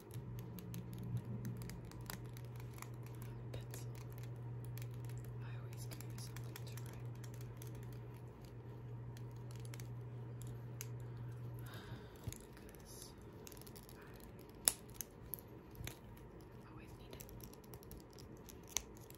Pencil. I always give you something to write because I always need it.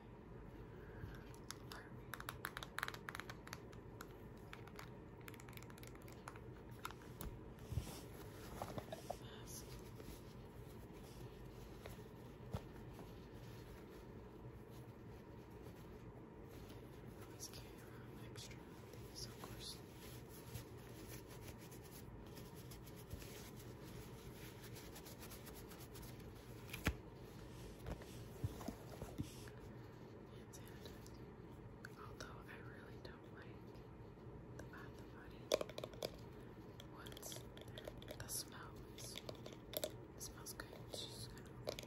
Always carry around extra things, of course. Thank you. Although I really don't like the bath body once the smell it smells good. It's just kind of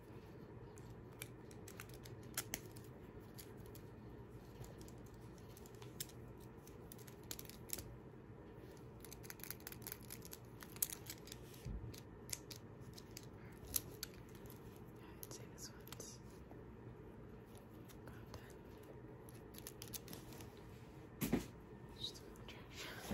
I'd say this one's about done. Just a little trash. Uh,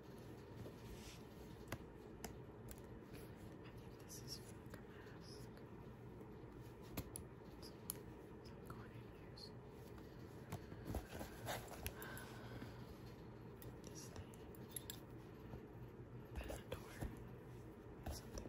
think this is funk mask. i going in here This thing. That Something.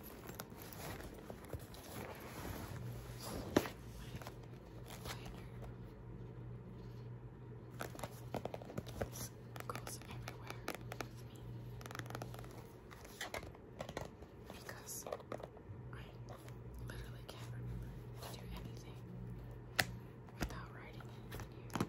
This goes everywhere me because I literally can't do anything without writing in here.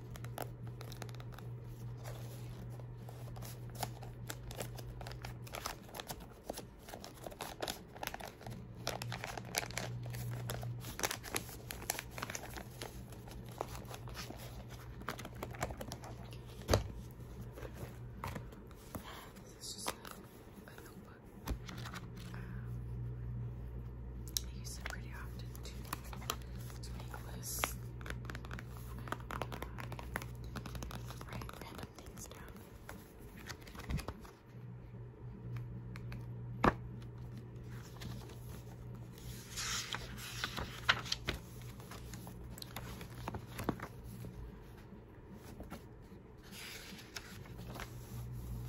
This is just a, notebook. Um, I use it pretty often to it's Nicholas. And, uh, write random things down.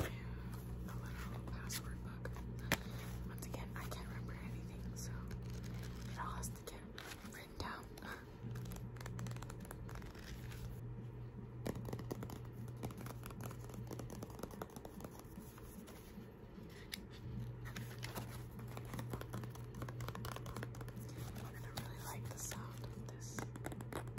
a little password book. Once again, I can't remember anything, so it all has get written down. And I really like the sound of this.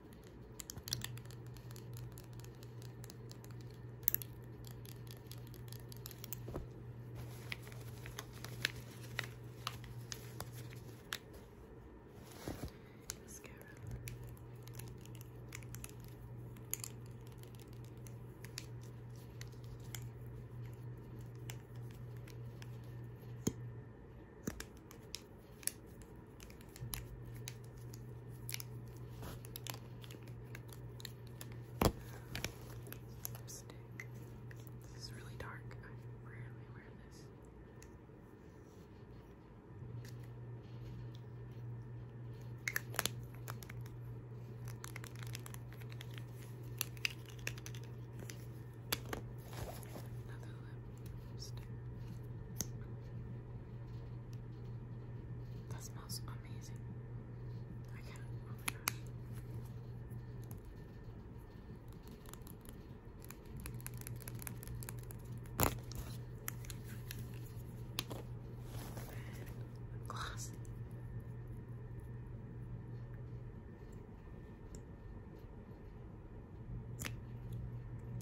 Mascara. This is really dark. I rarely wear this. Another lip lipstick. That smells amazing. I can't. Oh my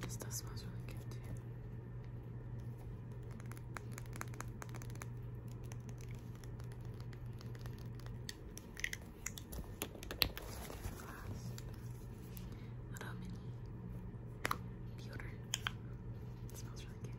This stuff smells really good too. Little mini deodorant. smells really good.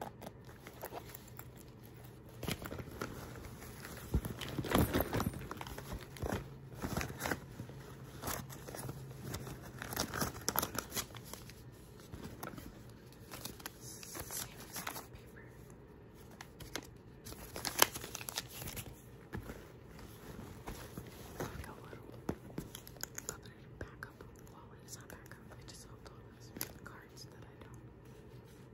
Backup wallet. It's not backup. It just helped all those cards that I don't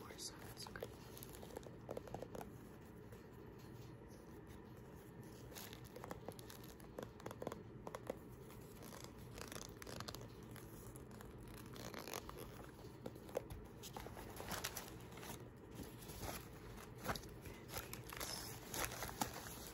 More sunscreen. Bandages.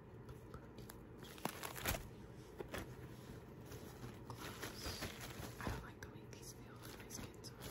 I don't like the way these feel on my skin, so i like,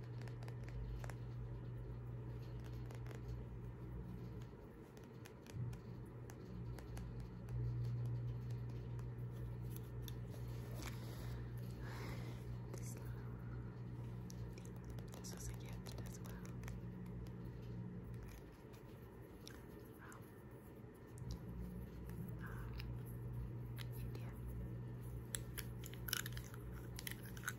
This, this was a as well. From um, India.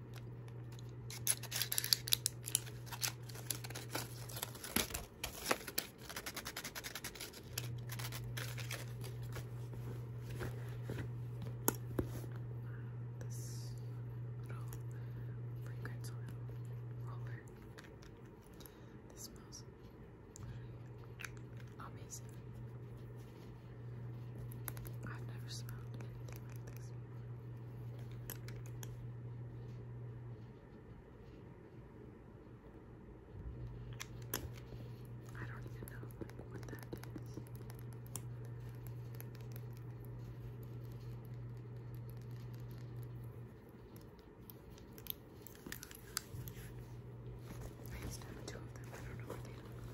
This little fragrance oil roller. This smells amazing. I've never smelled anything like this. I don't even know what that is. I used two of them. I don't know what they look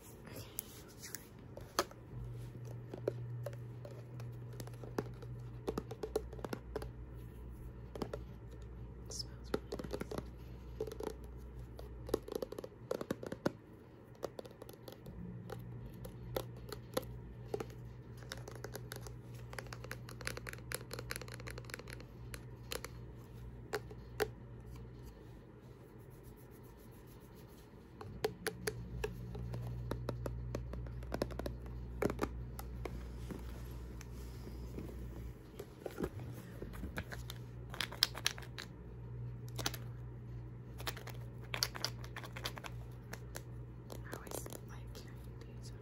It smells really nice. I I always like carrying these over.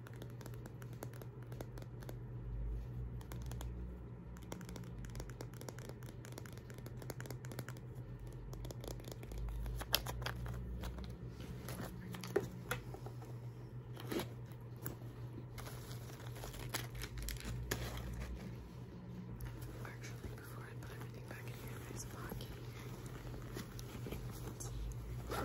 Actually, before I put everything back in here, there's a pocket. Uh,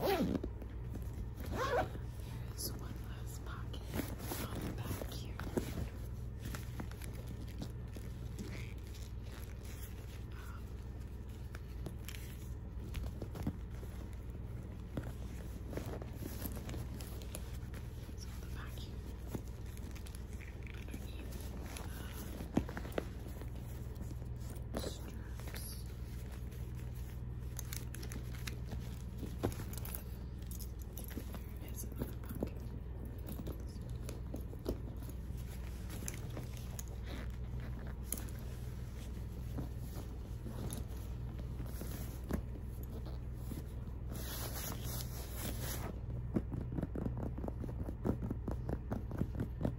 There is one last pocket on the back here. Um, so the vacuum underneath uh, straps. There it is in the pocket. There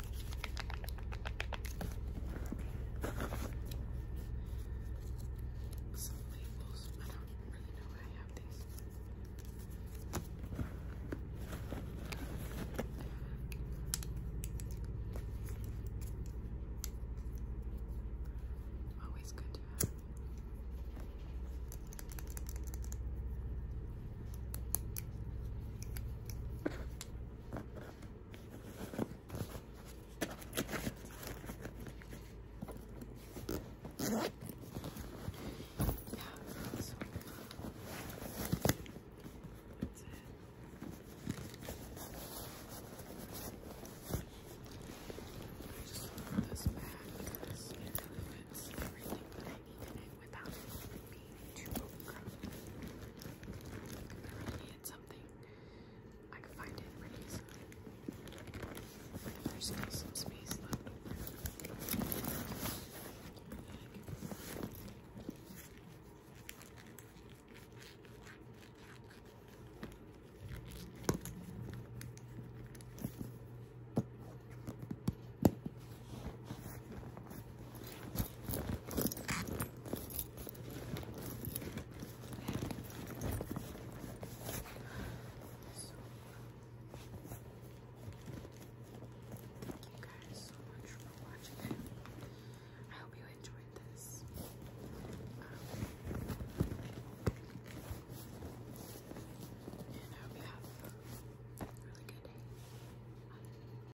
Some labels, I don't really know why I have these. Always good to have. Yeah, so that's it. I just love this bag because it really fits everything that I need in it without it too I need something. I can find it there's still some space left over. I Thank you guys so much for watching I hope you enjoyed this. Um, and I hope you have a really good day.